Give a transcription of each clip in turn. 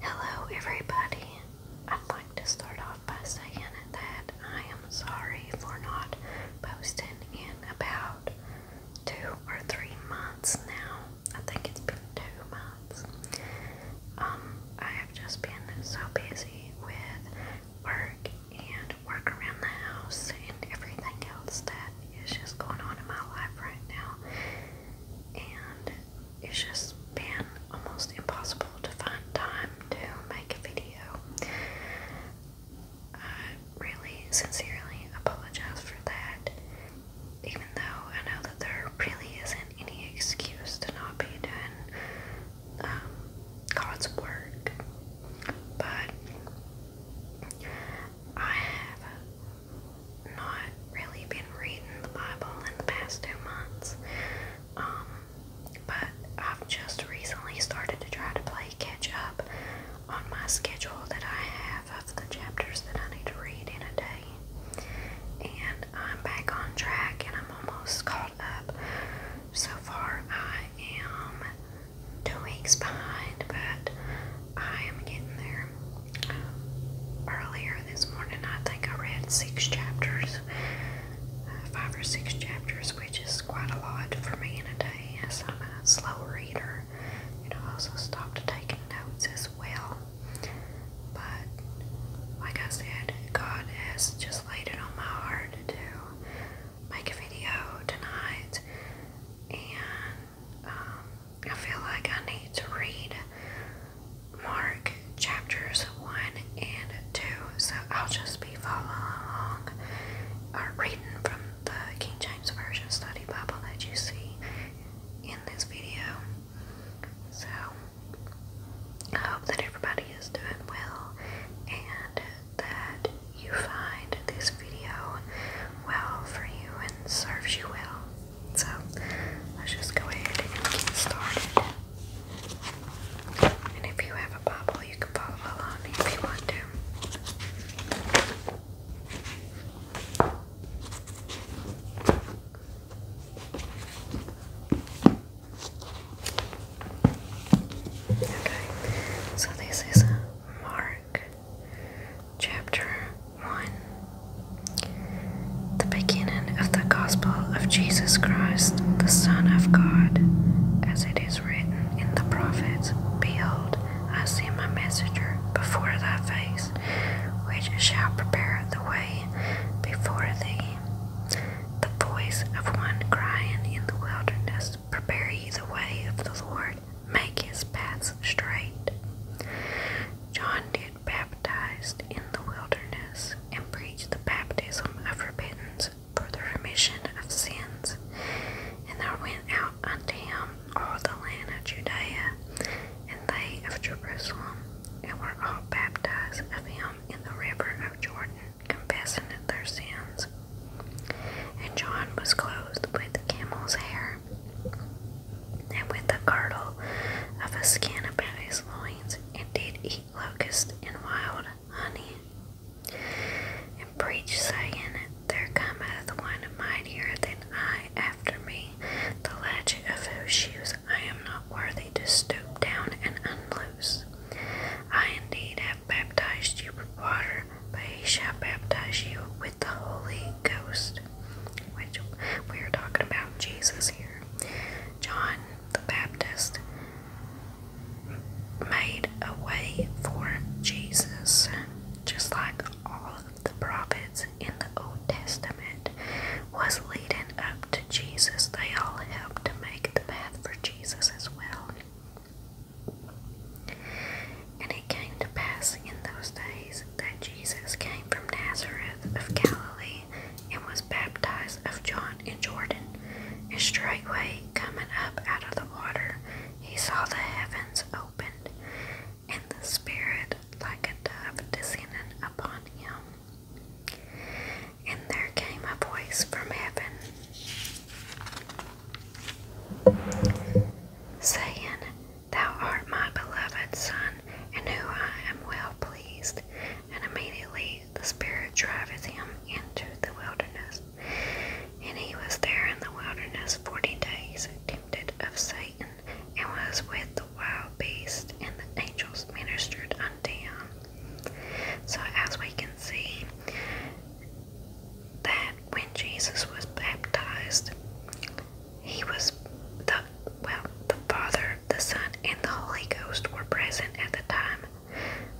Hello, everybody. I'd like to start off by saying that I am sorry for not posting in about two or three months now. I think it's been two months. Um, I have just been so busy with work and work around the house and everything else that is just going on in my life right now. And it's just been almost impossible to find time to make a video. I really sincerely apologize for that, even though I know that there really isn't any excuse to not be doing um, God's work. But I have not really been reading the Bible in the past two months. Um, but I've just recently started to try to play catch up on my schedule that I have of the chapters that I need to read in a day. And I'm back on track and I'm almost caught up. So far, I am two weeks behind, but I am getting there. Earlier this morning, I think I read six chapters, uh, five or six chapters, which is quite a lot for me in a day as I'm a slow reader. It also stopped taking notes as well. But, like I said, God has just laid it on my heart to make a video tonight. And um, I feel like I need to read Mark chapters 1 and 2, so I'll just be following along reading from the King James Version Study Bible that you see in this video. So, I hope that everybody is doing well and that you find this video well for you and serves you well. So let's just go ahead and get started. And if you have a Bible, you can follow along if you want to. Okay, so this is Mark Chapter 1 The beginning of the Gospel of Jesus Christ, the Son of God, as it is written in the prophets Behold, I send my messenger before thy face, which shall prepare the way before thee. The voice of one crying in the wilderness, ye the way of the Lord, make his paths straight. John did baptized in the wilderness and preached the baptism of repentance for the remission of sins. And there went out unto him all the land of Judea and they of Jerusalem, and were all baptized of him in the river of Jordan, confessing their sins. And John was clothed with camel's hair and with the girdle of a skin about his loins, and did eat locust and wild honey. And preach saying, There cometh one mightier than I after me, the latchet of whose shoes I am not worthy to stoop down and unloose. I indeed have baptized you with water, but he shall baptize you with the Holy Ghost which we are talking about Jesus here. John the Baptist made a way for Jesus, just like all of the prophets in the Old Testament was leading up to Jesus. They all helped to make the path for Jesus as well. And it came to pass in those days that Jesus came from Nazareth of Galilee and was baptized of John in Jordan. And straightway, coming up out of the water, he saw the heavens opened, and the Spirit like a dove descending upon him. And there came a voice from heaven saying, Thou art my beloved Son, in whom I am well pleased. And immediately the Spirit driveth him into the wilderness. And he was there in the wilderness forty days, tempted of Satan, and was with the wild beasts, and the angels ministered unto him. So, as we can see, that when Jesus was baptized, he was the well, the Father, the Son, and the Holy Ghost were present at the time.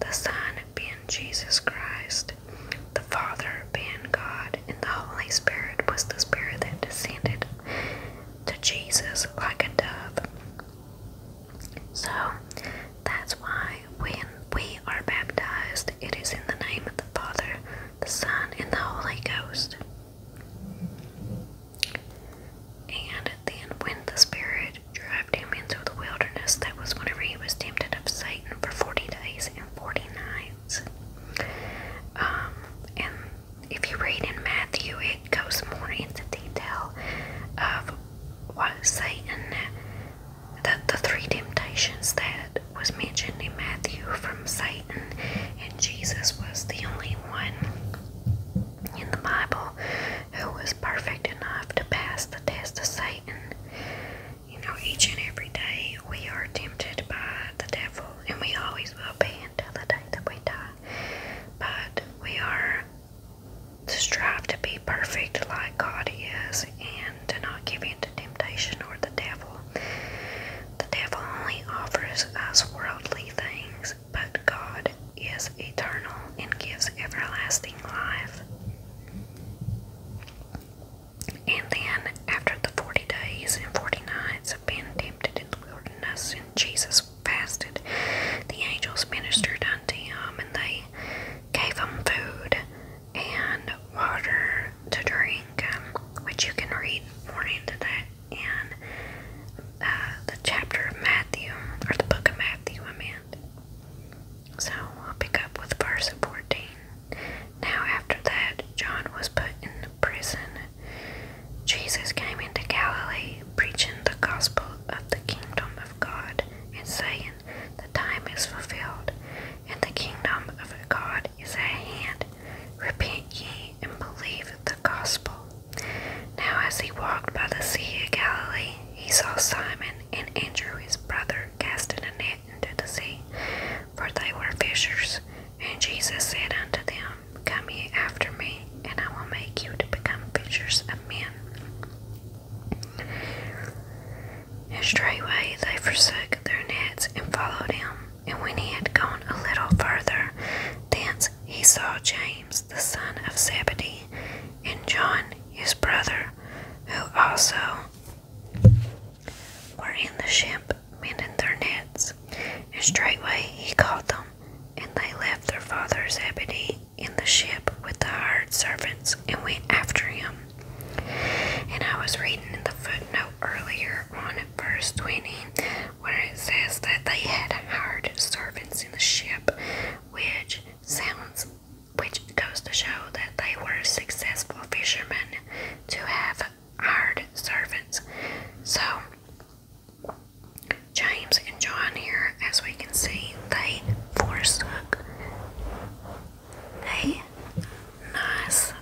The Son being Jesus Christ, the Father being God, and the Holy Spirit was the Spirit that descended to Jesus like a dove. So that's why when we are baptized, it is in the name of the Father, the Son, and the Holy Ghost. And then, when the Spirit drove him into the wilderness, that was whenever he was tempted of Satan for 40 days and 40 nights. Um, and if you read in Matthew, it goes more into detail of what Satan, the, the three temptations that was mentioned in Matthew from Satan, and Jesus was the only one in the Bible who was perfect enough to pass the test of Satan. You know, each and every day we are tempted by the devil, and we always will be until the day that we die. But we are to strive to be perfect like God is and to not give in to temptation or the devil. The devil only offers us worldly things, but God is eternal and gives everlasting life. And then, after the 40 days and 40 nights of being tempted in the wilderness, and Jesus fasted, the angels ministered unto him, and they gave him food and water to drink, um, which you can read more into that in uh, the chapter of Matthew, or the book of Matthew, I meant. So I'll pick up with verse 14. Now, after that, John was put in prison. Jesus came into Galilee, preaching the gospel of the kingdom of God, and saying, The time is fulfilled, and the kingdom of God is at hand. Repent ye and believe the gospel. Now, as he walked by the Sea of Galilee, he saw Simon and Andrew his brother casting a net into the sea, for they were fishers. And Jesus said unto them, Come ye after me, and I will make you to become fishers of men. And straightway they forsook their nets and followed him. And when he had gone a little further, thence he saw James the son of Zebedee, and John his brother, who also were in the ship mending their nets. And straightway he called them, and they left their father Zebedee in the ship with the hired servants, and went after him. And I was reading in the footnote earlier on at verse 20 where it says that they had hard servants in the ship, which sounds which goes to show that they were successful fishermen to have hard servants. So James and John here, as we can see, they forsook a nice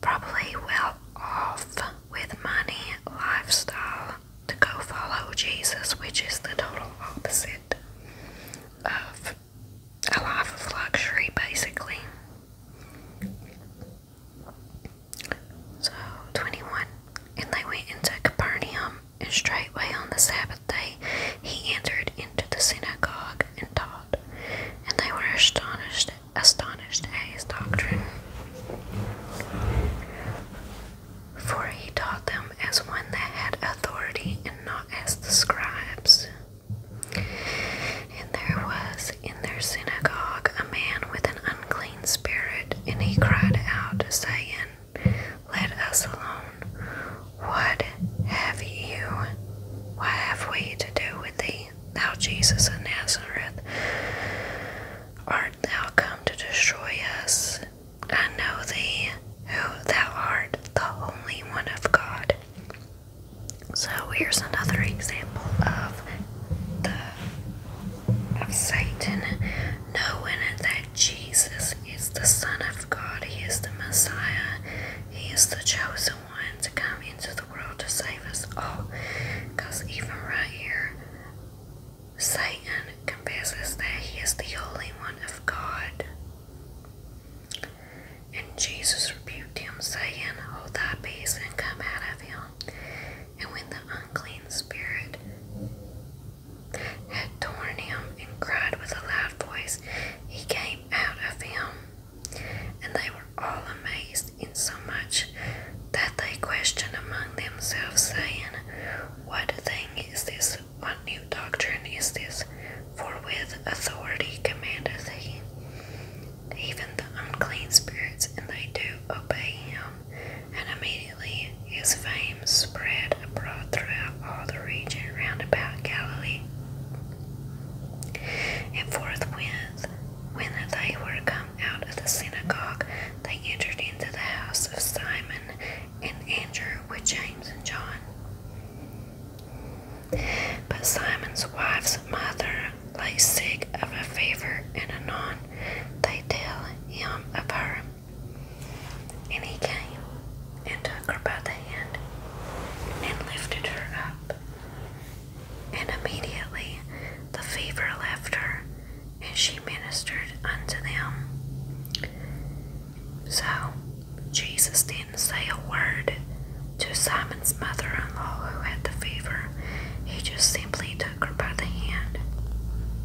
probably well off with money, lifestyle, to go follow Jesus, which is the total opposite of a life of luxury, basically. So, 21. And they went into Capernaum, and straightway on the Sabbath day he entered into the synagogue and taught, and they were astonished, astonished at his doctrine, for he taught them as one that had authority and not as the scribes. And there was in their synagogue a man with an unclean spirit, and he cried out, saying, Let us alone. What have you? What have we to do with thee, thou Jesus of Nazareth? Art thou come to destroy us? I know thee, who thou art, the only One of God. So here's another example of the of Satan knowing that Jesus is the Son of God, He is the Messiah, he is the chosen one to come into the world to save us all. Because even right here, Satan confesses that he is the only One of God. And Jesus rebuked him, saying, Hold thy peace and come out of him. And when the unclean spirit had torn him and cried with a loud voice, he came out of him. And they were all amazed, in so much that they questioned among themselves, saying, What thing is this? What new doctrine is this? For with authority commandeth he even the unclean spirits, and they do obey him. And immediately his fame spread abroad throughout throughout all the region round about Galilee. And forthwith, when they were come out of the synagogue, they entered into the house of Simon and Andrew with James and John. But Simon's wife's mother lay sick of a fever, and anon they tell him of her. And he came and took her by the hand and lifted her up. And immediately the fever left her, and she ministered unto them. So Jesus didn't say a word to Simon's mother in law who had the fever. He just simply took her by the hand,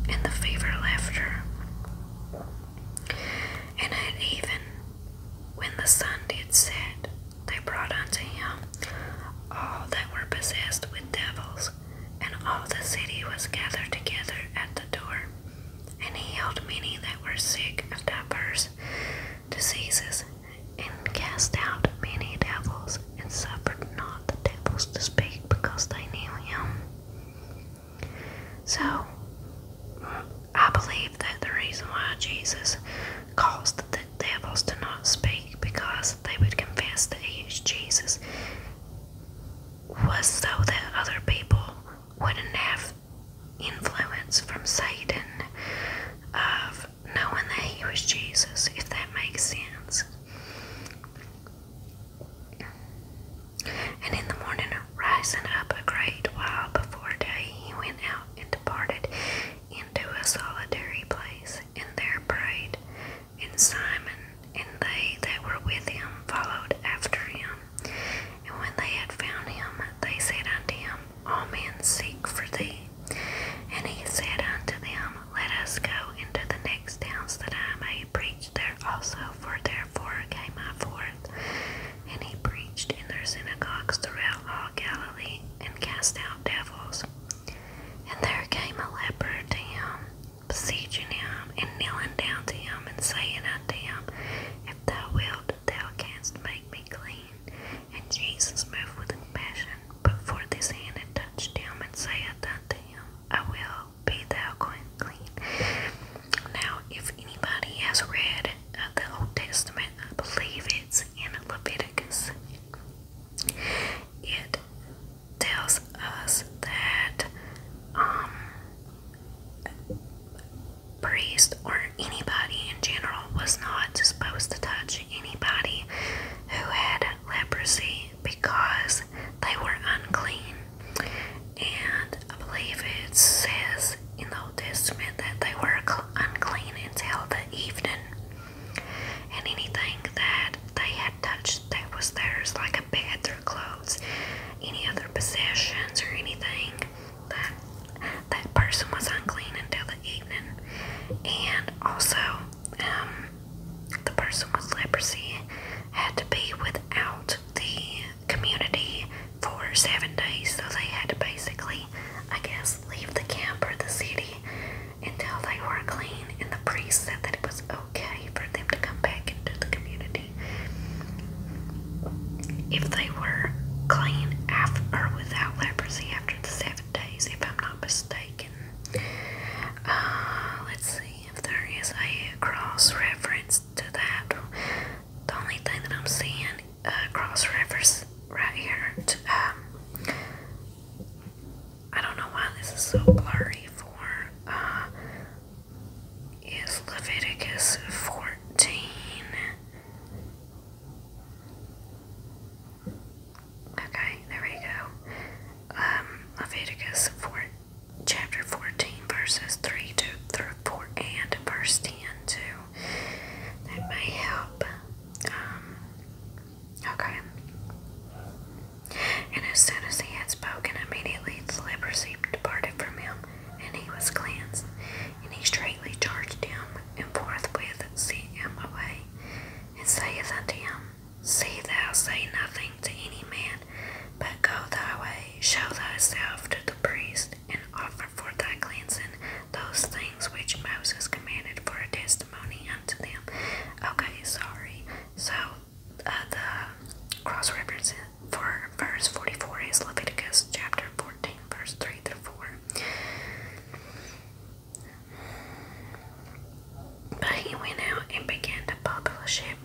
and the fever left her. And it even when the sun did set, they brought unto him all that were possessed with devils, and all the city was gathered together at the door. And he healed many that were sick of divers diseases, and cast out many devils, and suffered not the devils to speak, because they knew him. So, I believe that the reason why Jesus caused the devils to not speak because they would confess that he is Jesus was so that other people wouldn't have influence from Satan of knowing that he was Jesus, if that makes sense. And in the morning, rising up a great while before day, he went out and departed into a solitary place, and there prayed. And Simon and they that were with him followed after him. And when they had found him, they said unto him, All men seek for thee. And he said unto them, Let us go into the next towns, that I may preached there also, for therefore came I forth. And he preached in their synagogues throughout all Galilee, and cast out devils. And there came a leper to him, beseeching him, and kneeling down to him, and saying unto him, If thou wilt, thou canst make me clean. And Jesus moved with compassion, put forth his hand, and touched him, and said unto him, I will, be thou clean. Now, if anybody has read uh, the Old Testament, I believe it's in Leviticus. It tells us that um, priest or anybody in general was not supposed to touch anybody who had leprosy because they were unclean and I believe it says in the Old Testament that they were unclean until the evening, and anything that they had touched that was theirs, like a bed, their clothes, any other possessions, or anything that that person was unclean until the evening, and also um, the person with leprosy had to be without the community for seven days, so they had to basically, I guess, leave the camp or the city until they were clean. And the priest said that it was okay for them to come back into the community if they were clean after, or without leprosy after the seven days, if I'm not mistaken. Uh, let's see if there is a cross reference to that. The only thing that I'm seeing across uh, rivers right here. Um, I don't know why this is so blurry for. Uh, is Leviticus 14. Okay, there we go. Um, Leviticus 14 chapter 14, verses 3 to, through 4 and verse 10 too. That may help. Um, okay. And as soon as he had spoken, immediately the leprosy departed from him, and he was cleansed. And he straightly charged him, and forthwith sent him away, and saith unto him, See thou say nothing to any man, but go thy way, show thyself to the priest, and offer for thy cleansing those things which Moses commanded for a testimony unto them. Okay, sorry. So uh, the cross reference for verse 44 is Leviticus chapter 14, verse 3 through 4. But he went out and began to publish it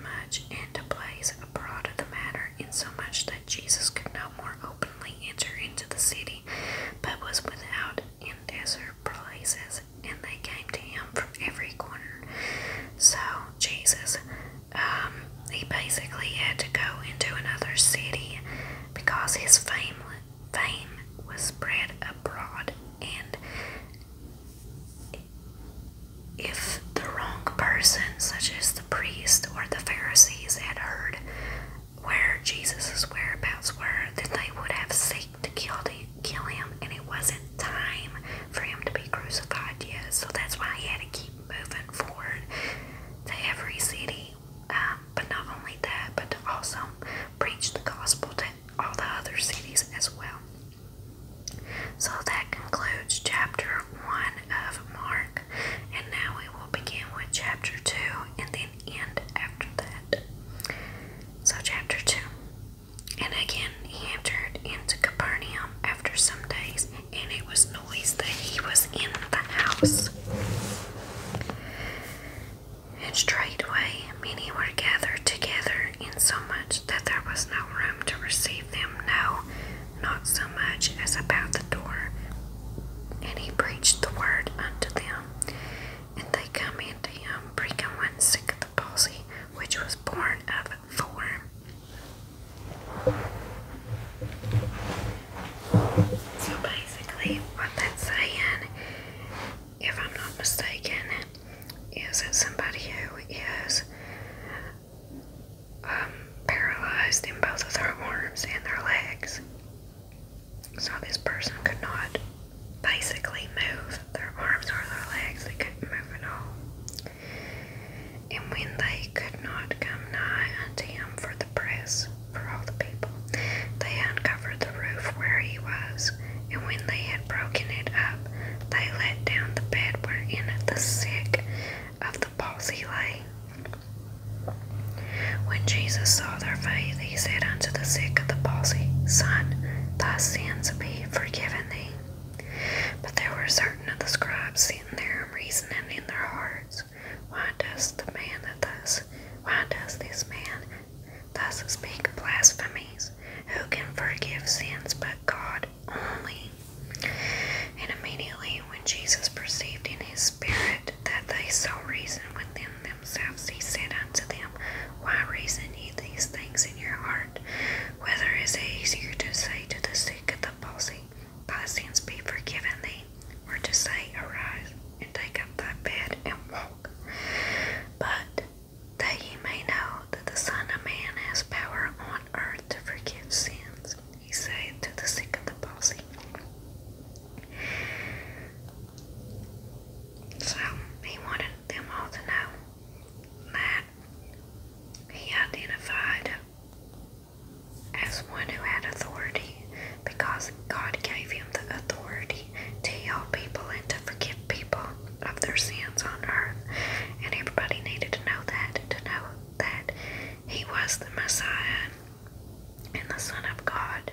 and to place abroad of the matter, insomuch that Jesus could no more openly enter into the city, but was without in desert places, and they came to him from every corner. So Jesus, um, he basically had to go into another city because his fame fame was spread abroad, and if the wrong person, such as the priest or the Pharisees, had heard where Jesus's whereabouts were, then they would have sought to kill, him, and it wasn't time for him to be crucified yet. So that's why he had to keep moving forward to every city. Um, but not only that, but to also preach the gospel to all the other cities as well. So that concludes chapter 1 of Mark, and now we will begin with chapter 2 and then end after that. So, chapter 2 And again he entered into Capernaum after some days, and it was noise that he was in the house. And straightway many were gathered together, insomuch that there was no room to receive them no, not so much as about the door. And he preached the word unto them. And they come into him, bringing one sick of the palsy, which was born of four. So basically, what that's saying, if I'm not mistaken, is that somebody who is um, paralyzed in both of their arms and their legs. So this person could not basically move their arms or their legs. They couldn't move at all. And when they could not come nigh unto him for the press, for all the people, they uncovered the roof where he was. And when they had had broken it up, they let down the bed wherein the sick of the palsy lay. When Jesus saw their faith, he said unto the sick of the palsy, Son, thy sins be forgiven thee. But there were certain of the scribes sitting there reasoning in their hearts, Why does the man thus, why does this man thus speak blasphemies? Who can forgive sins but God? only. And immediately when Jesus perceived in his spirit that they so reasoned within themselves, he said unto them, Why reason ye these things in your heart? Whether is it easier to say to the sick of the palsy, Thy sins be forgiven thee, or to say, Arise and take up thy bed and walk? But that ye may know that the Son of Man has power on earth to forgive sins, he said to the sick of the palsy. So he wanted them all to know that he identified as one who had authority because God gave him the authority to heal people and to forgive people of their sins on earth, and everybody needed to know that, to know that he was the Messiah and the Son of God.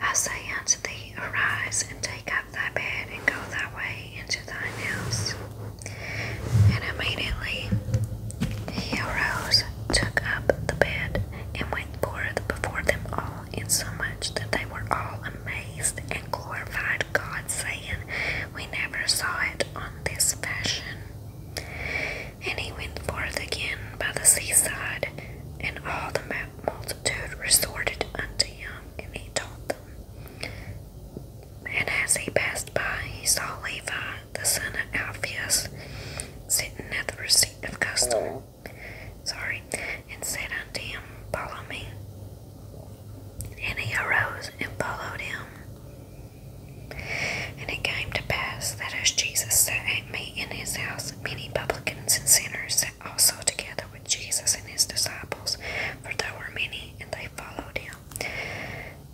I say unto thee, Arise and take up thy bed and go thy way into thine house. And immediately he arose, took up the bed, and went forth before them all, all, insomuch that they were all amazed and glorified God, saying, We never saw it on this fashion. And he went forth again by the seaside, and all the multitude resorted unto him, and he taught them. And as he passed by, he saw Levi, the son of Alphaeus, sitting at the receipt of custom, sorry, and said unto him, Follow me. And he arose and followed him. And it came to pass that as Jesus sat at meat in his house, many publicans and sinners also together with Jesus and his disciples, for there were many, and they followed him.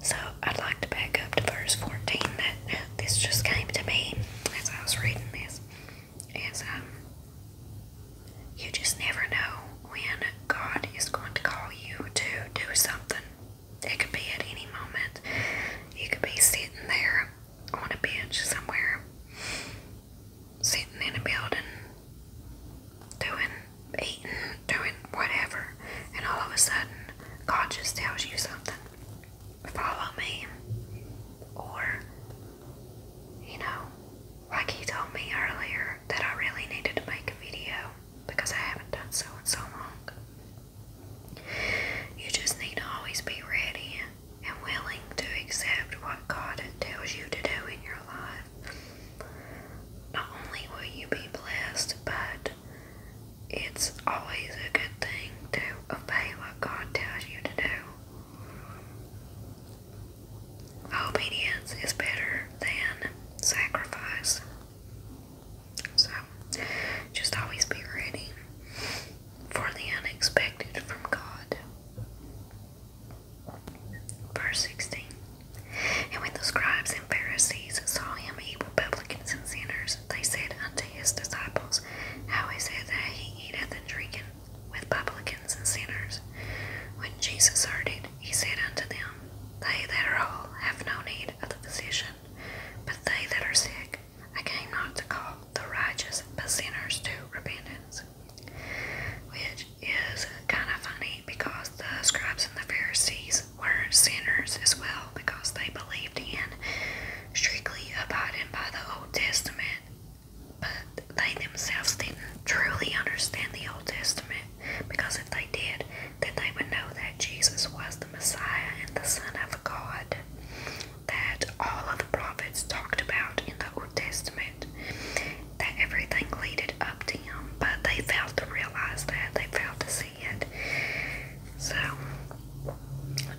So I'd like to back up to verse 14 that this just came to me as I was reading this is um you just never know when God is going to call you to do something. It could be at any moment. You could be sitting there on a bench somewhere, sitting in a building, doing, eating, doing whatever, and all of a sudden, God just tells you something. Follow me, or you know, like he told me earlier that I really needed to make a video because I haven't done so in so long. You just need to always be ready and willing to accept what God tells you to do in your life. Not only will you be blessed, but it's always a good thing to obey what God tells you to do. Obedience is better than sacrifice. So just always be ready for the unexpected from God. Verse 16 And when the scribes and Pharisees saw him eat with publicans and sinners, they said unto his disciples, How is it that he eateth and drinketh? with publicans and sinners. When Jesus heard it, he said unto them, They that are whole have no need of the physician, but they that are sick. I came not to call the righteous, but sinners to repentance. Which is kind of funny because the scribes and the Pharisees were sinners as well because they believed in strictly abiding by the Old Testament but they themselves didn't truly understand the Old Testament, because if they did, then they would know that Jesus was the Messiah and the Son of God that all of the prophets talked about in the Old Testament, that everything leaded up to him, but they failed to realize that, they failed to see it. So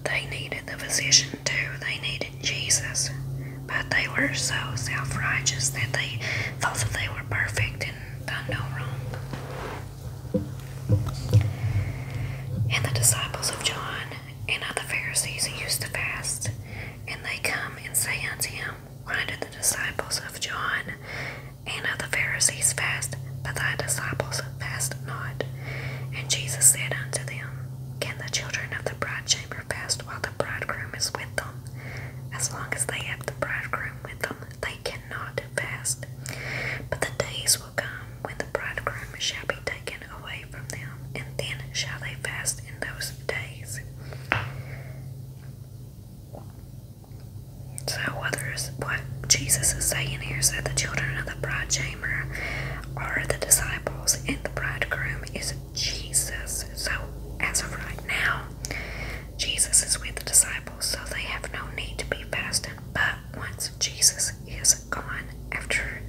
they needed the physician too, they needed Jesus, but they were so self righteous that they felt that they were perfect and done no wrong. And the disciples of John and of the Pharisees used to fast, and they come and say unto him, Why do the disciples of John and of the Pharisees fast, but thy disciples fast not? And Jesus said unto them, can the children of the bride chamber fast while the bridegroom is with them? As long as they have the bridegroom with them, they cannot fast. But the days will come when the bridegroom shall be taken away from them, and then shall they fast in those days. So, others, what Jesus is saying here is that the children of the bride chamber are the disciples, the bridegroom is Jesus. So, as of right now, Jesus is with the disciples, so they have no need to be fasting. But once Jesus is gone, after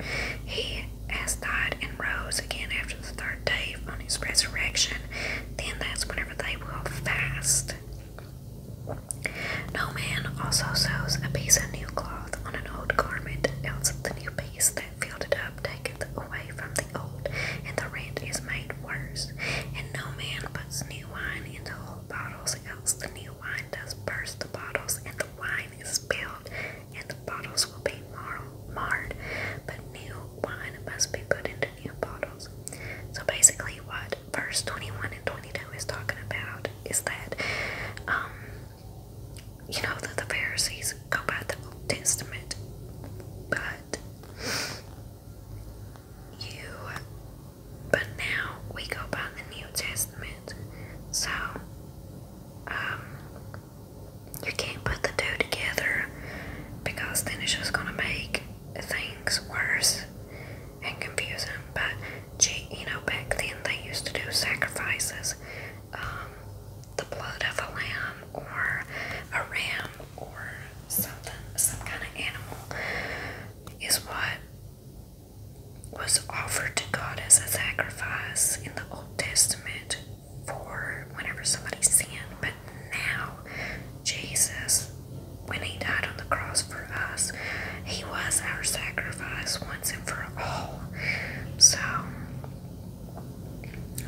he has died and rose again after the third day on his resurrection, then that's whenever they will fast. No man also sews a piece of new cloth on an old garment, else the new piece that filled it up taketh away from the old, and the rent is made worse. And no man puts new wine into old bottles, else the new wine does burst the bottles, and the wine is spilled, and the bottles will be mar marred. But new wine must be put into new bottles. So basically, what verse 21 and 22 is talking about is that um, you know that the Pharisees go by the Old Testament, but you, but now we go by the New Testament. So, um, you can't put the two together because then it's just gonna make things worse and confusing. But, gee, you know, back then they used to do sacrifices um, the blood of a lamb or a ram or something, some kind of animal, is what was offered to God as a sacrifice in the Old Testament for whenever somebody sinned. But now, Jesus, when He died on the cross for us, He was our sacrifice once and for all. So,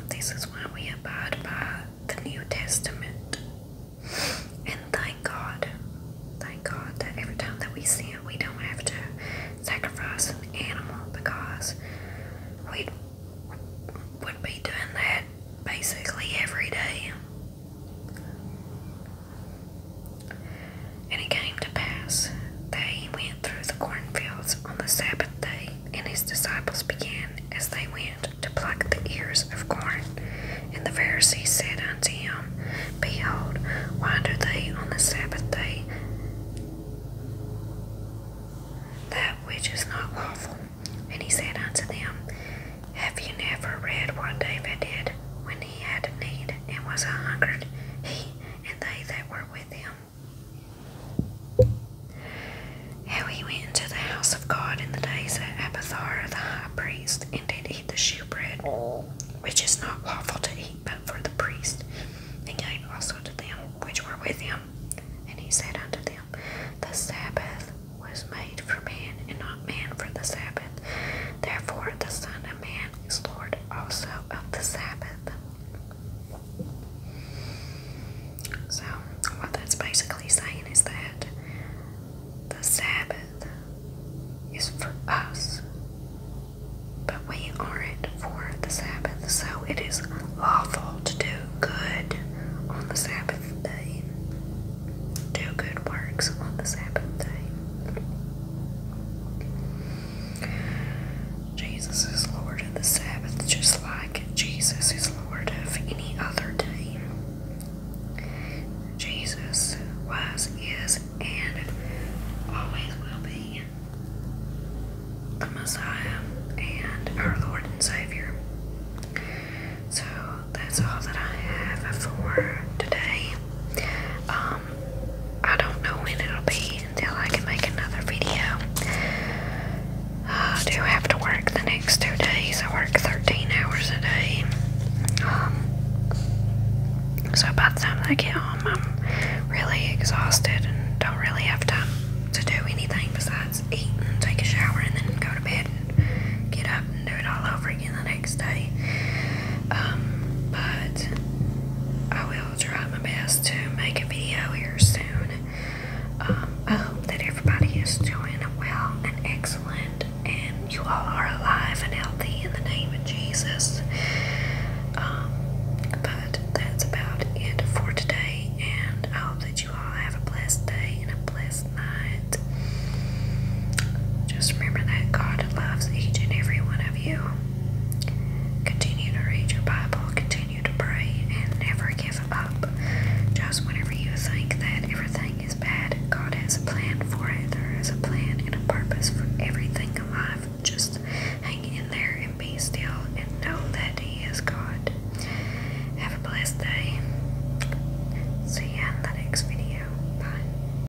this is why we abide by the New Testament. And thank God, thank God that every time that we sin, we don't have to sacrifice an animal because we would be doing that basically every day. And it came to pass that he went through the cornfields on the Sabbath day, and his disciples began as they went to pluck the ears of corn. And the Pharisees said unto him, Behold, why do they on the Sabbath day that which is not lawful? And he said unto them, Have you never read what David did when he had need and was a hungered? He and they that were with him. How he went into the house of God in the days of Abathar the high priest, and did eat the shewbread, which is not lawful to eat but for the priest, and gave also to them which were with him. And he said unto them, The Sabbath was made for man, and not man for the Sabbath. Therefore the Son of Man is Lord, also of the Sabbath. So, what that's basically saying is that the Sabbath is for us, but we aren't for the Sabbath. So, it is lawful to do good on the Sabbath day, do good works on the Sabbath day. Jesus is Lord of the Sabbath, just like Jesus is Lord of any other day. Jesus was, is, and always will be the Messiah and our Lord and Savior. So that's all that I have for today. Um, I don't know when it'll be until I can make another video. I do have to work the next two days. I work 13 hours a day. Um, so by the time I get home, I'm really exhausted and don't really have time to do anything besides eat and take a shower and then go to bed and get up and do it all over the next day. Um, but I will try my best to make a video here soon. Um, I hope that everybody is doing well and excellent, and you all are alive and healthy in the name of Jesus. Um, but that's about it for today, and I hope that you all have a blessed day and a blessed night. Just remember that God loves each and every one of you. Continue to read your Bible, continue to pray, and never give up. Just whenever you think that everything is bad, God has a plan for it. There is a plan and a purpose for everything alive. Just hang in there and be still and know that He is God. Have a blessed day. See you in the next video. Bye.